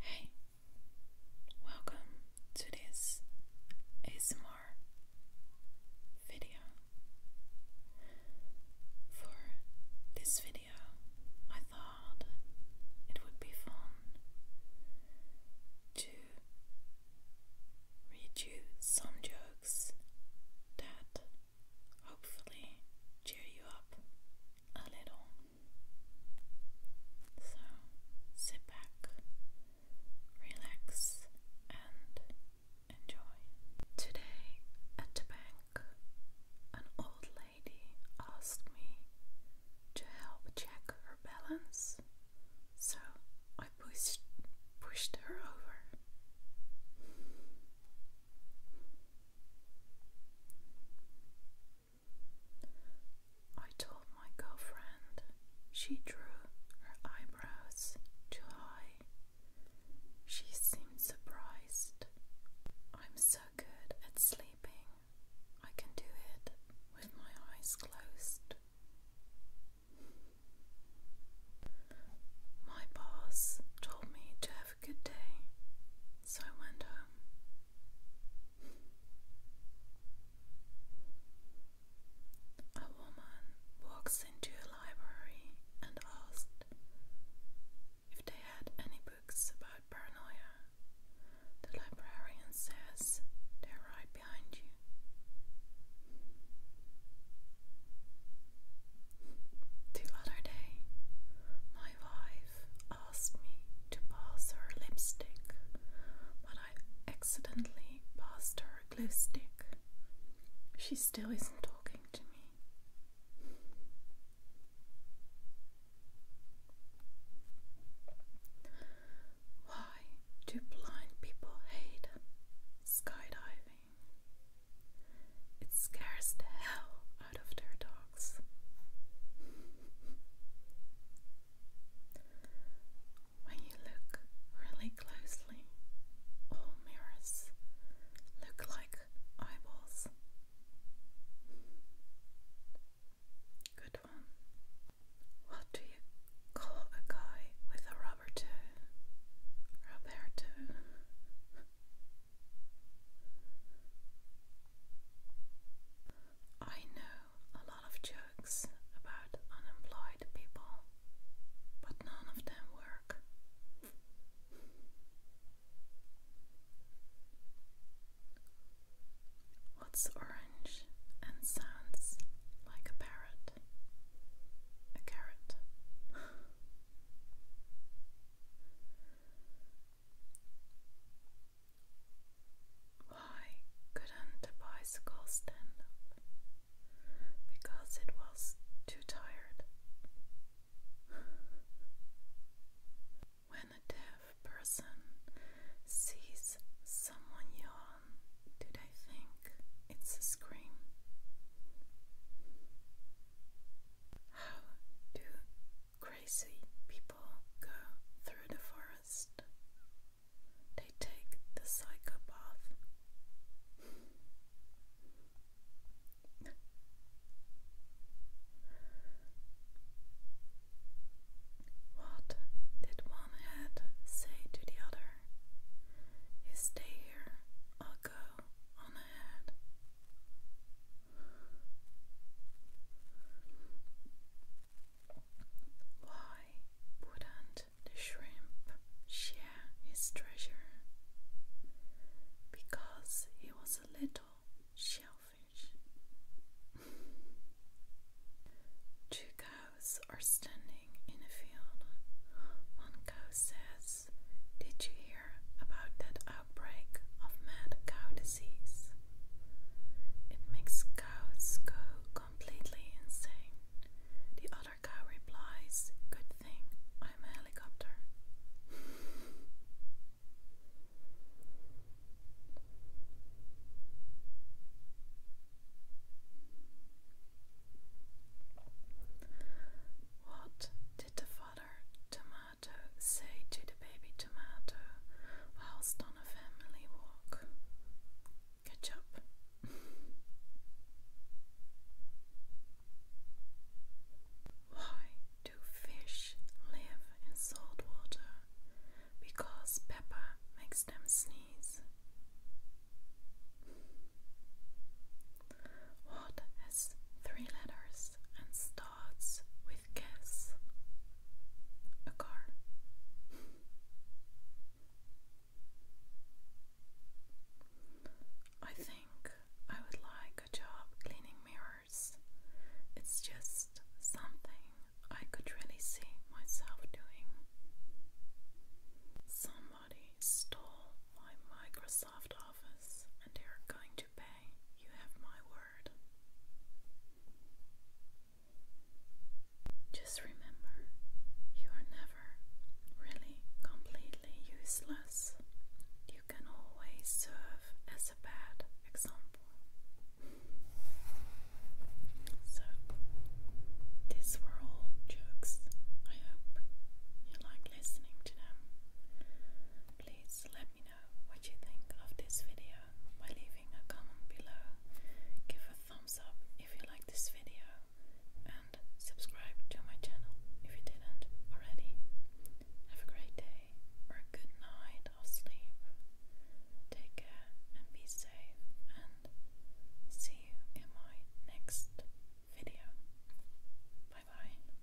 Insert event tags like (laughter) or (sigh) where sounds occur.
Hey, welcome to this ASMR video. For this video, I thought it would be fun to read you some jokes that hopefully cheer you up a little. So sit back, relax, and enjoy. Today at the bank, an old lady asked me to help check her balance, so I pushed, pushed her over. I told my girlfriend. She drew her eyebrows too high. She seemed surprised. I'm so good at sleeping. I can do it with my eyes closed. My boss told me to have a good day, so I went home. A woman walks into a library and asks if they had any books about paranoia. The librarian says they're right behind you. The other day, my my asked me to pass her lipstick, but I accidentally passed her glue stick. She still isn't talking to me. Why do blind people hate skydiving? It scares the hell out of their dogs box. When you look really closely, all mirrors look like eyeballs. Good one. What do you call a guy with a rubber Roberto. I know a lot of jokes about unemployed people, but none of them work. What's orange and sounds like a parrot? A carrot. Why couldn't the bicycle stand up? Because it was too tired. When a deaf person sees someone yawn, do they think it's a scream? How do Crazy people go through the forest. They take the psychopath. what did one head say to the other? You stay here, I'll go on ahead. Why wouldn't the shrimp share his treasure? Because he was a little shellfish. (laughs) Two cows are standing in a field. One cow says, Did you hear about that outbreak of mad cow disease. It makes cows go completely insane. The other cow replies, Good thing I'm a helicopter. What did the father to tomato, say to the baby tomato, whilst on a family walk. Catch up. Why do fish live in salt water? Because pepper makes them sneeze. What has three letters and starts? with guess. A car. I think I would like a job cleaning mirrors. It's just something I could really see myself doing. Somebody stole my Microsoft Office and they're going to. You have my word. Just remember, you are never really completely useless. You can always serve as a bad example. So, these were all jokes. I hope you like listening to them. Please let me what you think of this video by leaving a comment below. Give a thumbs up if you like this video and subscribe to my channel if you didn't already. Have a great day or a good night of sleep. Take care and be safe and see you in my next video. Bye bye.